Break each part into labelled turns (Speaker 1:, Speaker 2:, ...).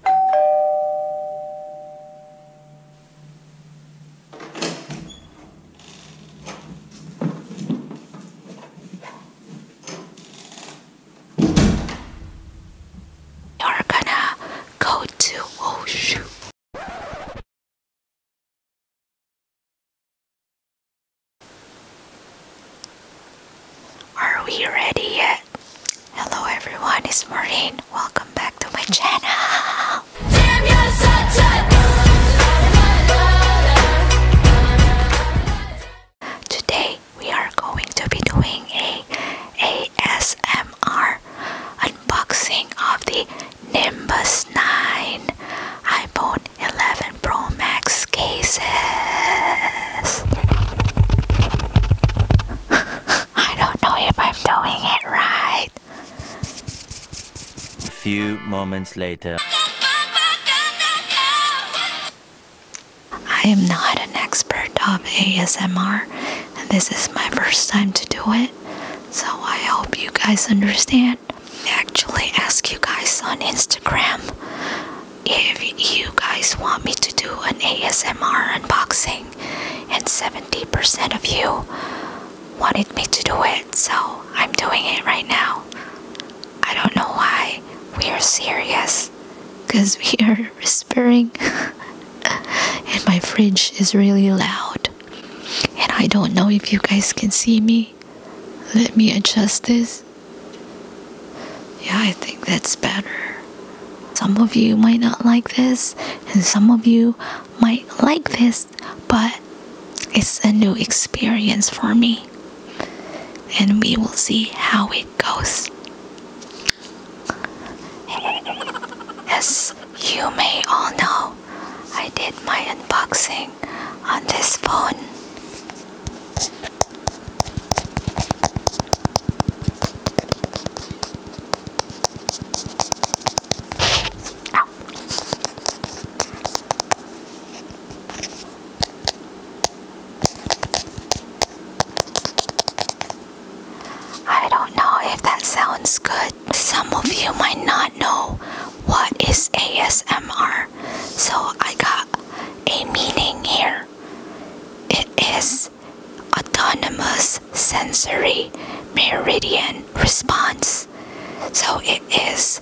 Speaker 1: You're gonna go to Wushu. Are we ready yet? Hello everyone, it's Maureen. Welcome back to my channel. Today we are going to be doing a ASMR unboxing of the Nimbus 9 iPhone 11 Pro Max cases. I don't know if I'm doing it right. A Few moments later. I am not an expert of ASMR and this is my first time to do it. So I hope you guys understand. I actually asked you guys on Instagram if you guys want me to do an ASMR unboxing and 70% of you wanted me to do it, so I'm doing it right now. I don't know why we are serious, because we are whispering, and my fridge is really loud. And I don't know if you guys can see me. Let me adjust this. Yeah, I think that's better. Some of you might not like this, and some of you might like this, but it's a new experience for me. And we will see how it goes. As you may all know, I did my unboxing on this phone. I don't know if that sounds good. Some of you might not know what is ASMR, so I got a meaning here. It is autonomous sensory meridian response. So it is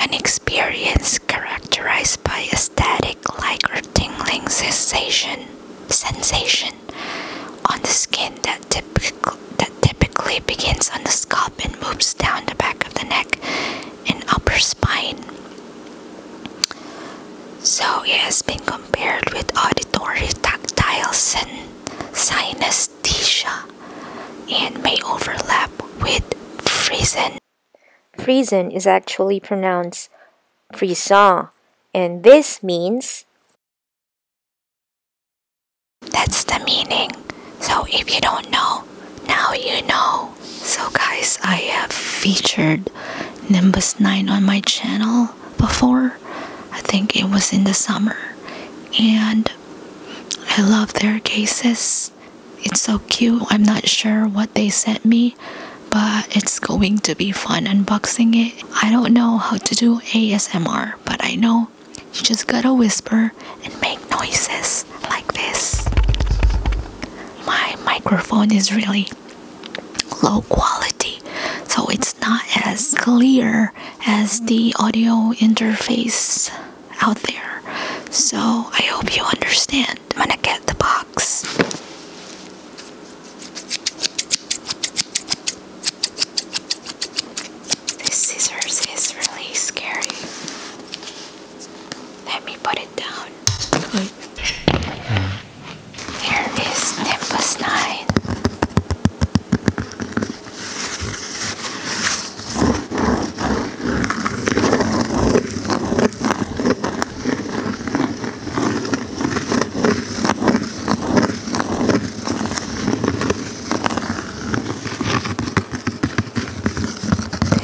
Speaker 1: an experience characterized by a static like or tingling sensation sensation on the skin that, that typically begins on the scalp and moves down the back of the neck and upper spine. So it has been compared with auditory tactile synesthesia and may overlap with freezing. Freezing is actually pronounced frisson, and this means that's the meaning. So if you don't know, now you know. So guys, I have featured Nimbus 9 on my channel before. I think it was in the summer. And I love their cases. It's so cute. I'm not sure what they sent me, but it's going to be fun unboxing it. I don't know how to do ASMR, but I know you just gotta whisper and make noises like this. My microphone is really low quality so it's not as clear as the audio interface out there so i hope you understand i'm gonna get the box this scissors is really scary let me put it down here is Nimbus 9.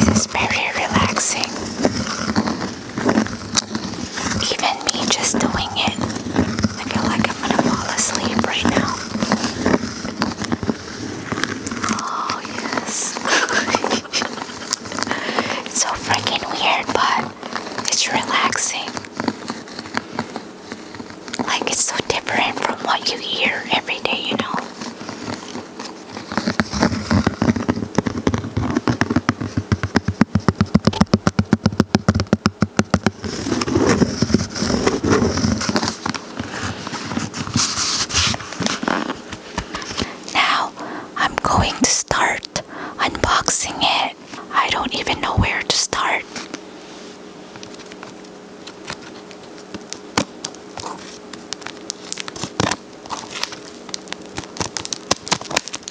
Speaker 1: This is very relaxing. Even me just doing it, I feel like I'm gonna fall asleep right now. Oh, yes. it's so freaking weird, but it's relaxing. Like, it's so different from what you hear every day, you know? Now I'm going to start unboxing it. I don't even know where to start.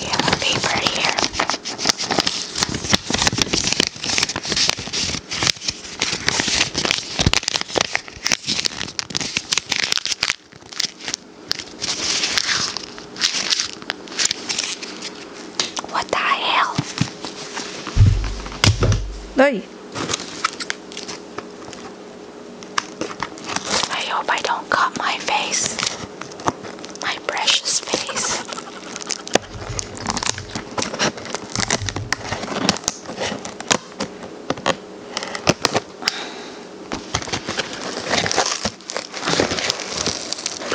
Speaker 1: You have a paper here. What the hell? Hey! I hope I don't cut my face. My precious face.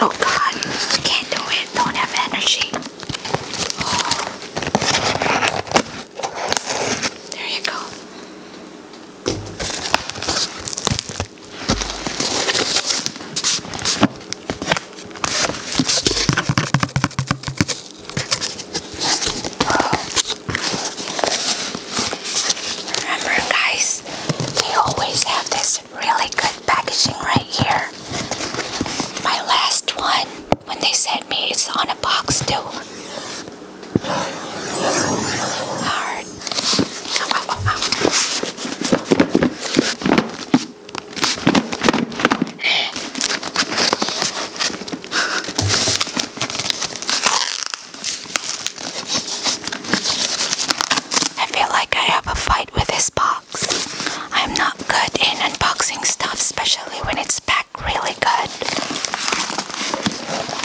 Speaker 1: Oh God, can't do it. Don't have energy. Oh. There you go. Oh. Remember guys, they always have this really good packaging right here. My last one, when they sent me, it's on a box too. Hard. I feel like I have a fight with this box. I'm not good in unboxing stuff, especially when it's packed really good.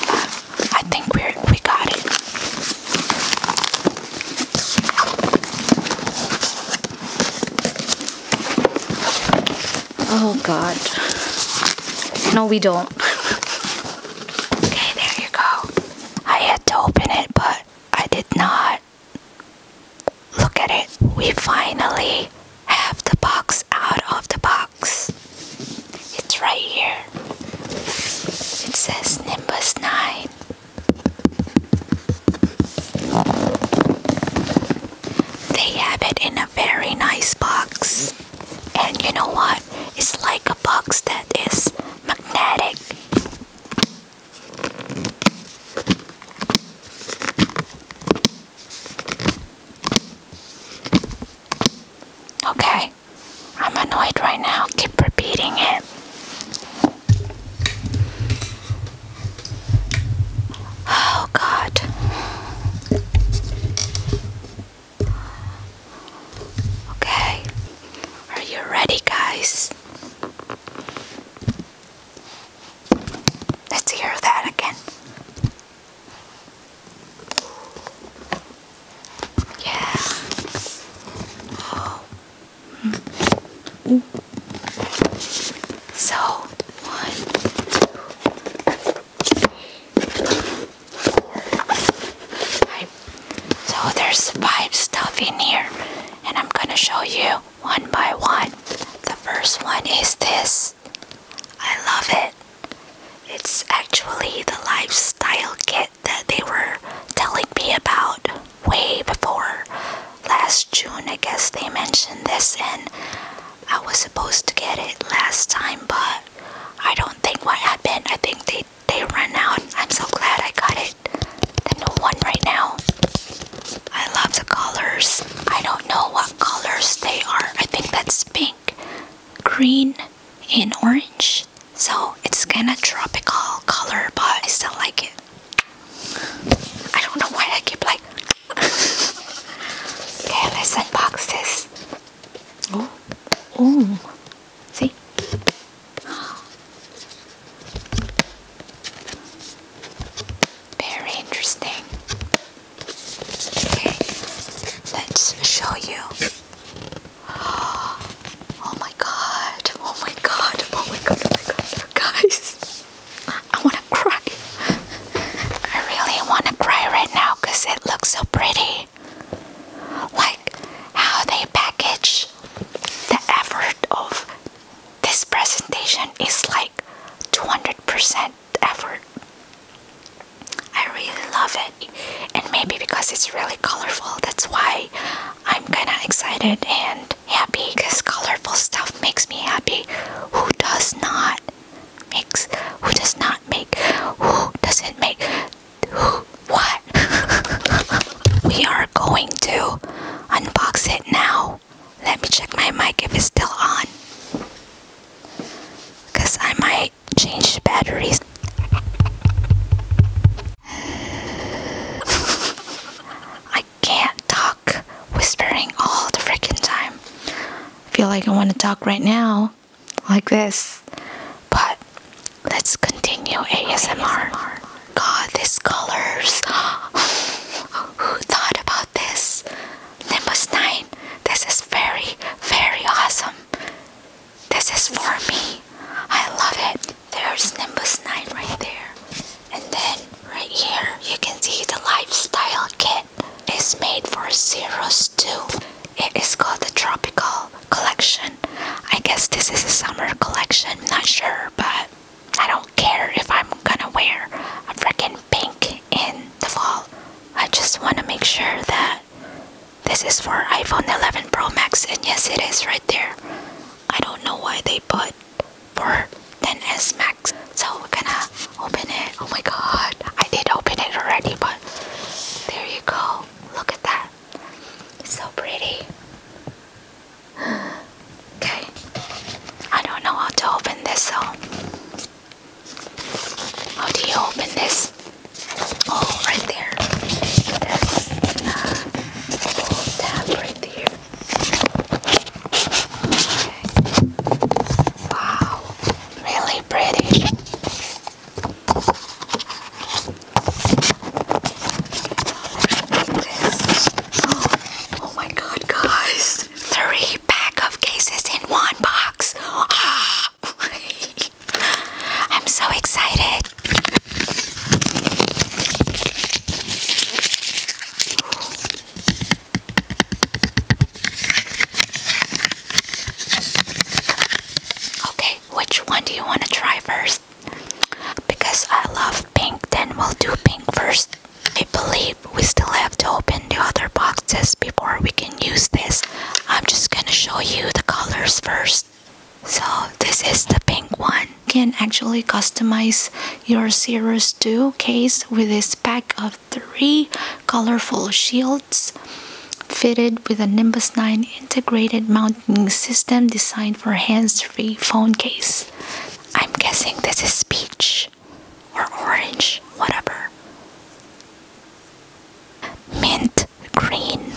Speaker 1: But I think we are we got it. Oh God. No, we don't. okay, there you go. I had to open it, but I did not. Look at it. We finally have the box out of the box. It's right here. It says Nimbus 9. They have it in a very nice box. And you know what? It's like a box that is magnetic. Okay, I'm annoyed right now. Keep repeating it. Oh, God. Okay, are you ready, guys? Let's hear that again. Yeah. Oh. Mm. So, so there's five stuff in here and I'm gonna show you one by one. The first one is this. I love it. It's actually the lifestyle kit that they were telling me about way before last June. I guess they mentioned this and I was supposed to get it last time, but I don't think what happened. I think they they ran out. I'm so glad I got it. The new one right now. I love the colors. I don't know what colors they are. I think that's pink, green, and orange. So it's kind of tropical color, but I still like it. I don't know why I keep like okay, let's unbox this. Oh, oh, see? Very interesting. Okay, let's show you. Oh my god, oh my god, oh my god, oh my god, guys. I wanna cry. I really want to cry right now because it looks so pretty. Like how they package the effort of this presentation is like 200% effort. I really love it, and maybe because it's really colorful, that's why I'm kind of excited and happy because colorful stuff makes me happy. Who does not? makes who does not make who doesn't make who what we are going to unbox it now let me check my mic if it's still on because I might change the batteries I can't talk whispering all the freaking time I feel like I want to talk right now like this. But let's continue ASMR. God, these colors. Who thought about this? Nimbus 9, this is very, very awesome. This is for me. I love it. There's Nimbus 9 right there. And then right here, you can see the lifestyle kit. It's made for zeros too. It is called the Tropical Collection. I guess this is a summer collection, not sure, but I don't care if I'm gonna wear a freaking pink in the fall. I just wanna make sure that this is for iPhone 11 Pro Max, and yes, it is right there. I don't know why they put for 10s Max, so we're gonna Open it. Oh my god. I did open it already, but there you go. Look at that. so pretty. Okay. I don't know how to open this, How do you open this? Oh, right there. There's a little tab right there. Okay. Wow really pretty. Oh, my god, guys! Three pack of cases in one box. Ah. I'm so excited. Okay, which one do you want to try first? Because I love pink, then we'll do pink first. I believe we still have to open the other boxes before we can use this. I'm just gonna show you the colors first. So, this is the pink one. You can actually customize your Series 2 case with this pack of three colorful shields fitted with a Nimbus 9 integrated mounting system designed for hands-free phone case. I'm guessing this is peach or orange, whatever. Mint green.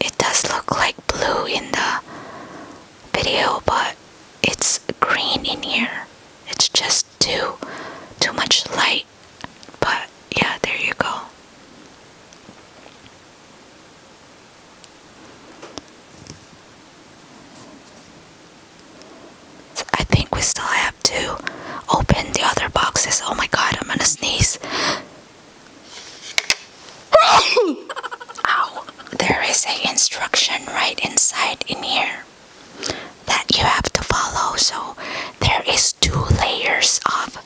Speaker 1: It does look like blue in the video, but it's green in here. It's just too too much light but yeah there you go I think we still have to open the other boxes. Oh my god, I'm gonna sneeze. Ow! There is a instruction right inside in here that you have to follow so there is two layers of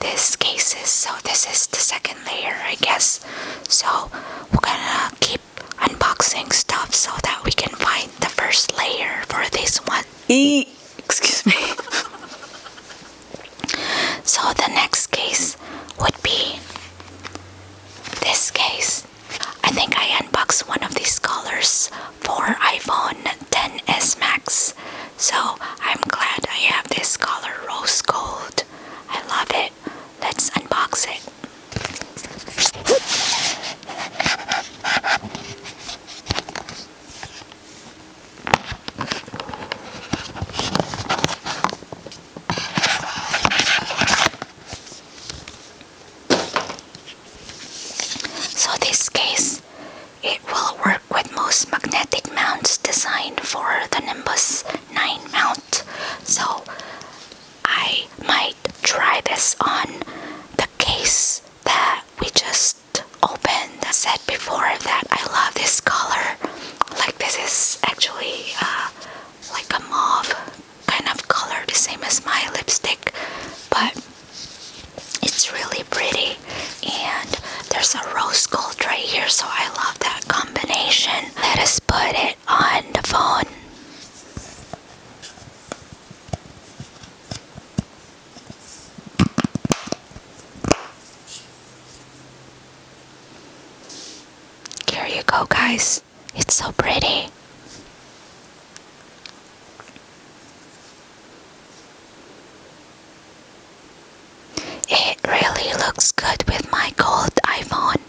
Speaker 1: this cases so this is the second layer i guess so we're gonna keep unboxing stuff so that we can find the first layer for this one e excuse me so the next case would be this case I think I unboxed one of these colors for iPhone 10s Max. So I'm glad I have this color rose gold. I love it. Let's unbox it. So this case, it will work with most magnetic mounts designed for the Nimbus 9 mount. So I might try this on the case that we just opened. I said before that I love this color. Like this is actually uh, like a mauve kind of color, the same as my lipstick. But it's really pretty, and there's a rose gold right here, so I love that combination. Let us put it on the phone. Here you go, guys. It's so pretty. It really looks good with my gold iPhone.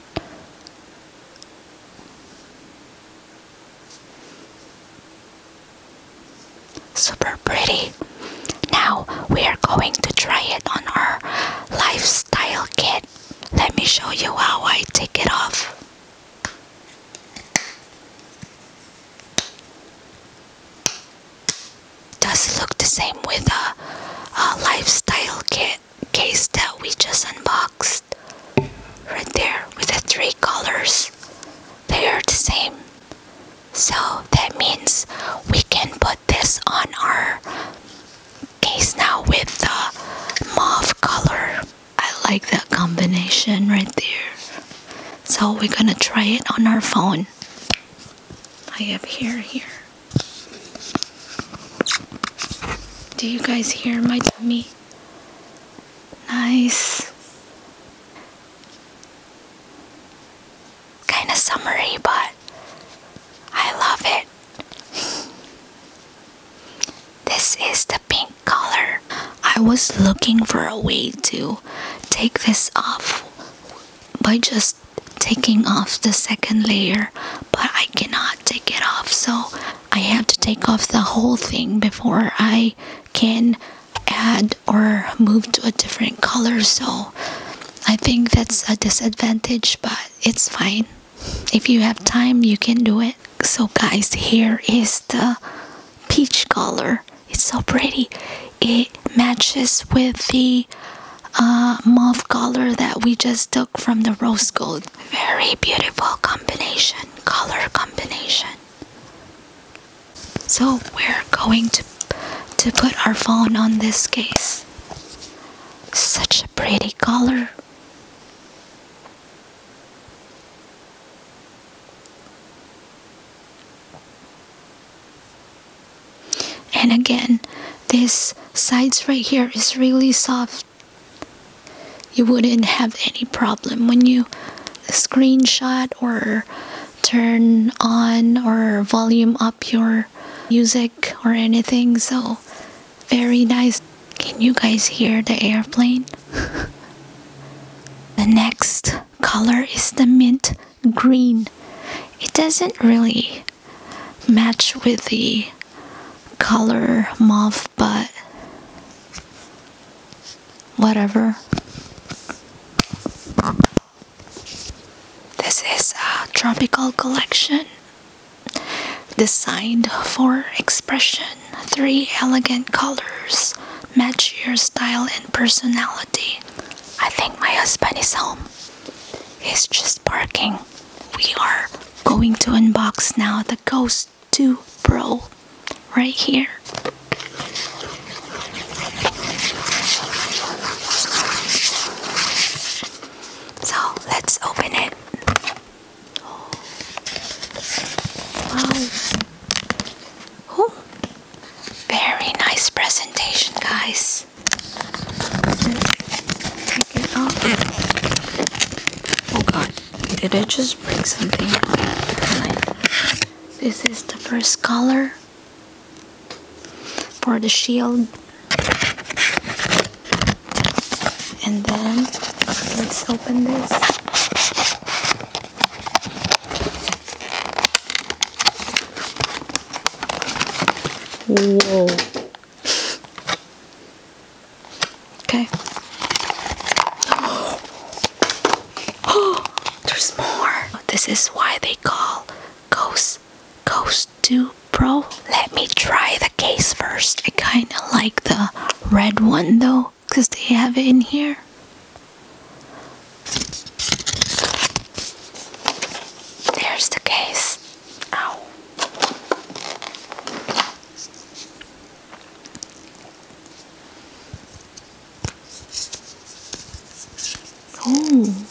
Speaker 1: Super pretty. Now we are going to try it on our lifestyle kit. Let me show you how I take it off. Does it look the same with a, a lifestyle kit case that we just unboxed. Right there with the three colors. They are the same. So that means we can put this on our case now with the mauve color. I like that combination right there. So we're gonna try it on our phone. I have here. here. Do you guys hear my tummy? Nice. Kind of summery, but I love it. This is the pink color. I was looking for a way to take this off by just taking off the second layer, but I cannot take it off, so I have to take off the whole thing before I can add or move to a different color. So I think that's a disadvantage, but it's fine. If you have time, you can do it. So guys, here is the peach color. It's so pretty. It matches with the uh, mauve color that we just took from the rose gold. Very beautiful combination, color combination. So we're going to, to put our phone on this case. Such a pretty color. And again, this sides right here is really soft. You wouldn't have any problem when you screenshot or turn on or volume up your music or anything. So very nice. Can you guys hear the airplane? The next color is the mint green. It doesn't really match with the color mauve, but whatever. This is a tropical collection designed for expression three elegant colors match your style and personality. I think my husband is home. He's just parking. We are going to unbox now the Ghost 2 Pro right here. So let's open it. Oh. Wow. Oh, Very nice presentation, guys. Take it off. Oh god, did I just break something? This is the first color for the shield. And then let's open this. Whoa. Okay. Oh, there's more. This is why they call Ghost Ghost 2 Pro. Let me try the case first. I kind of like the red one though because they have it in here. There's the case. Ow. Oh,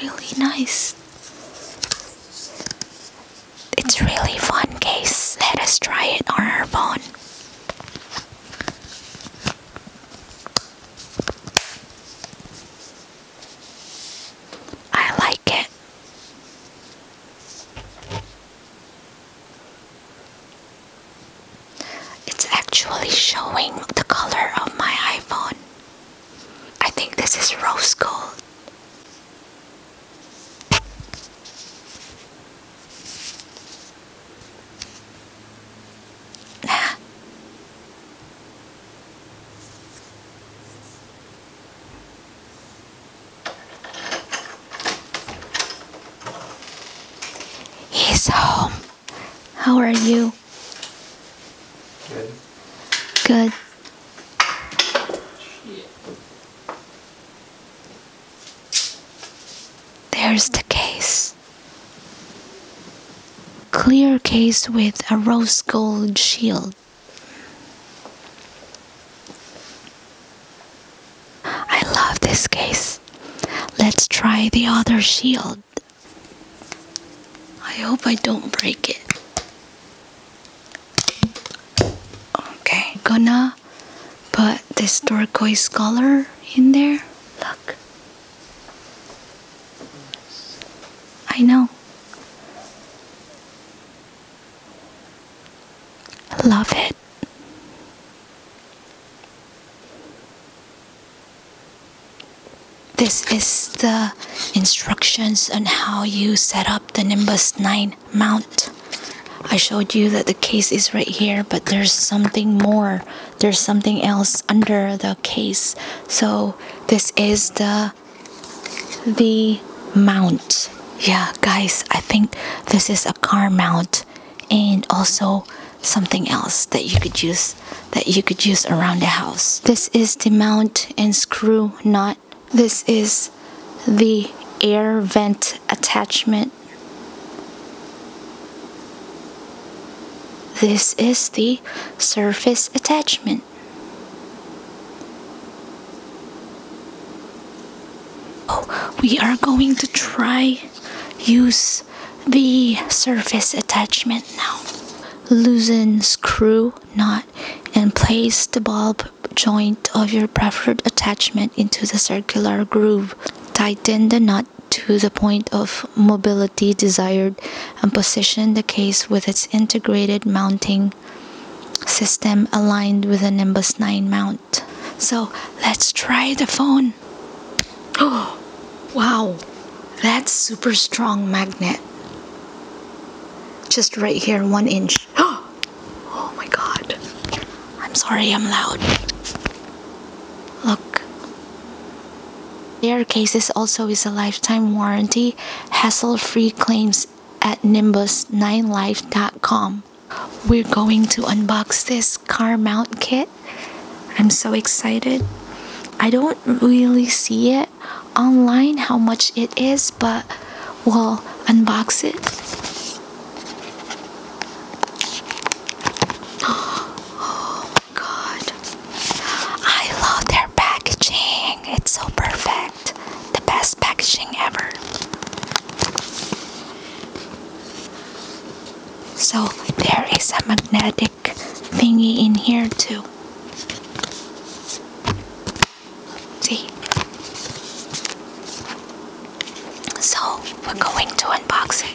Speaker 1: really nice. It's really fun case. Let us try it on our phone. I like it. It's actually showing the color of my iPhone. I think this is rose gold. He's home. How are you? Good. Good. There's the case. Clear case with a rose gold shield. I love this case. Let's try the other shield. I hope I don't break it. Okay, gonna Put this turquoise color in there look I know love it this is the instructions on how you set up the Nimbus 9 mount I showed you that the case is right here, but there's something more. There's something else under the case. So this is the the mount. Yeah, guys, I think this is a car mount and also something else that you could use that you could use around the house. This is the mount and screw nut. This is the air vent attachment. This is the surface attachment. Oh, we are going to try use the surface attachment now. Loosen screw nut and place the bulb joint of your preferred attachment into the circular groove. Tighten the nut to the point of mobility desired and position the case with its integrated mounting system aligned with the Nimbus 9 mount. So let's try the phone. Oh, wow, that's super strong magnet. Just right here, one inch. Oh my god. I'm sorry I'm loud. Look. Their cases also is a lifetime warranty, hassle-free claims at nimbus9life.com. We're going to unbox this car mount kit. I'm so excited. I don't really see it online how much it is, but we'll unbox it. Oh my god. I love their packaging. It's so perfect. The best packaging ever. So there is a magnetic thingy in here too. See? So we're going to unbox it.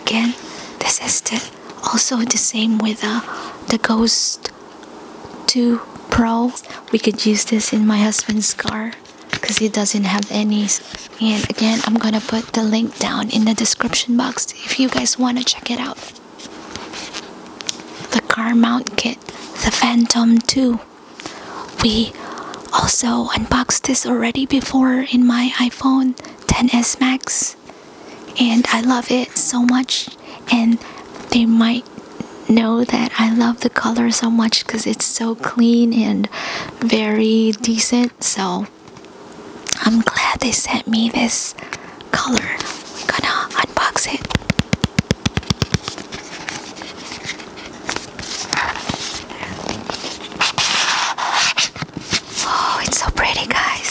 Speaker 1: Again, this is the, also the same with uh, the Ghost 2 Pro. We could use this in my husband's car because he doesn't have any. And again, I'm gonna put the link down in the description box if you guys wanna check it out. The car mount kit, the Phantom 2. We also unboxed this already before in my iPhone 10s Max and I love it so much and they might know that I love the color so much because it's so clean and very decent so I'm glad they sent me this color we're gonna unbox it Oh, it's so pretty, guys.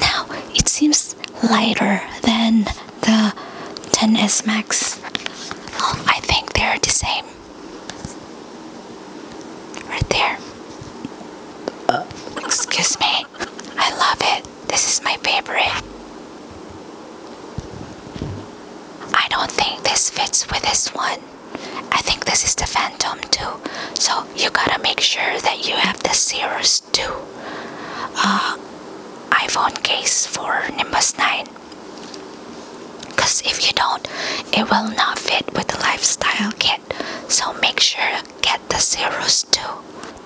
Speaker 1: Now it seems lighter than the 10s Max. Oh, I think they're the same. Right there. Uh, excuse me. I love it. This is my favorite. I don't think this fits with this one. I think this is the Phantom too. So you gotta make sure that you have the Sears 2 uh, iPhone case for Nimbus 9. Because if you don't, it will not fit with the lifestyle kit. So make sure get the Sears 2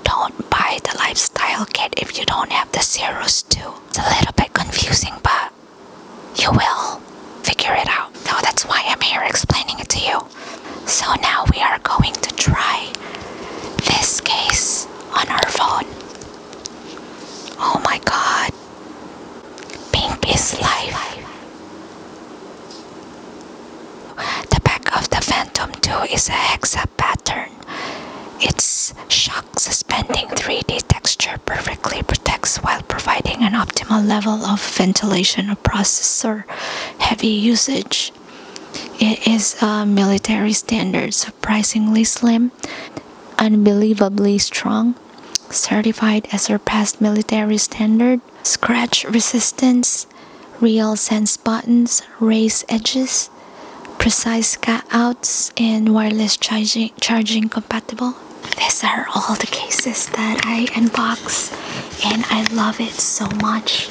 Speaker 1: don't buy the lifestyle kit if you don't have the zeros too. It's a little bit confusing, but you will figure it out. No, that's why I'm here explaining it to you. So now we are going to try this case on our phone. Oh my god. Pink is life. The back of the Phantom 2 is a hexa pattern. Its shock suspending 3D texture perfectly protects while providing an optimal level of ventilation A processor heavy usage. It is military standard, surprisingly slim, unbelievably strong, certified as surpassed military standard, scratch resistance, real sense buttons, raised edges, precise cutouts and wireless charging charging compatible these are all the cases that i unbox and i love it so much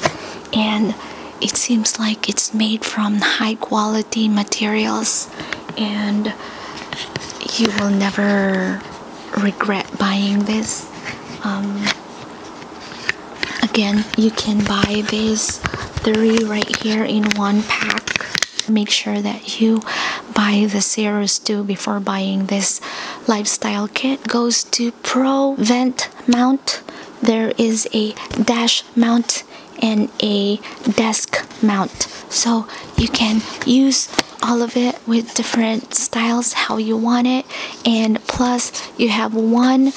Speaker 1: and it seems like it's made from high quality materials and you will never regret buying this um, again you can buy these three right here in one pack make sure that you buy the series 2 before buying this lifestyle kit goes to pro vent mount there is a dash mount and a desk mount so you can use all of it with different styles how you want it and plus you have one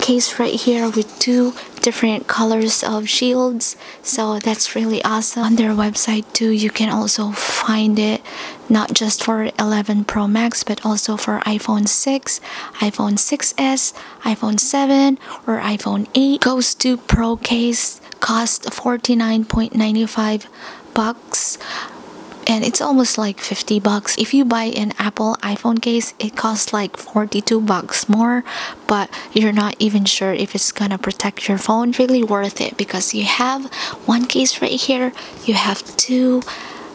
Speaker 1: case right here with two different colors of shields so that's really awesome on their website too you can also find it not just for 11 pro max but also for iphone 6 iphone 6s iphone 7 or iphone 8 goes to pro case cost 49.95 bucks and it's almost like 50 bucks if you buy an apple iphone case it costs like 42 bucks more but you're not even sure if it's gonna protect your phone really worth it because you have one case right here you have two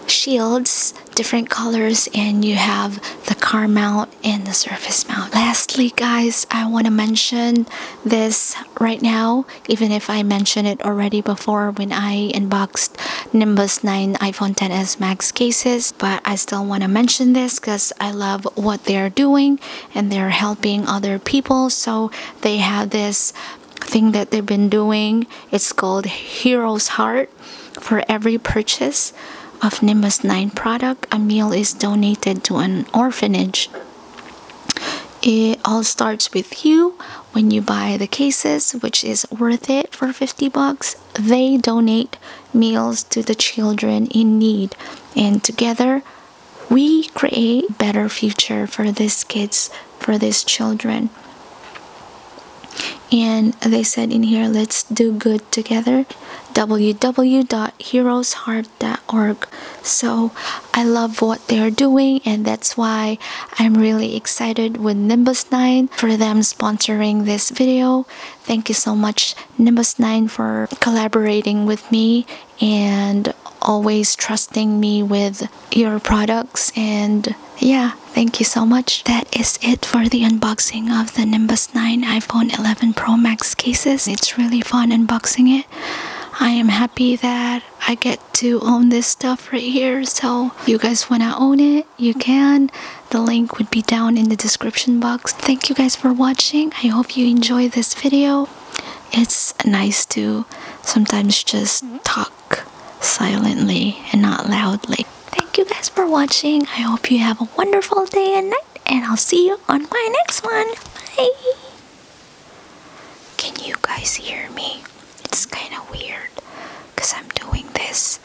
Speaker 1: shields different colors and you have the car mount and the surface mount lastly guys i want to mention this right now even if i mentioned it already before when i unboxed Nimbus 9 iPhone 10s Max cases but I still want to mention this because I love what they're doing and they're helping other people so they have this thing that they've been doing it's called Hero's Heart for every purchase of Nimbus 9 product a meal is donated to an orphanage it all starts with you when you buy the cases which is worth it for 50 bucks they donate meals to the children in need and together we create better future for these kids for these children and they said in here let's do good together www.heroesheart.org so i love what they're doing and that's why i'm really excited with nimbus 9 for them sponsoring this video Thank you so much, Nimbus 9, for collaborating with me and always trusting me with your products. And yeah, thank you so much. That is it for the unboxing of the Nimbus 9 iPhone 11 Pro Max cases. It's really fun unboxing it. I am happy that I get to own this stuff right here. So, you guys want to own it, you can the link would be down in the description box thank you guys for watching i hope you enjoy this video it's nice to sometimes just talk silently and not loudly thank you guys for watching i hope you have a wonderful day and night and i'll see you on my next one bye can you guys hear me it's kind of weird because i'm doing this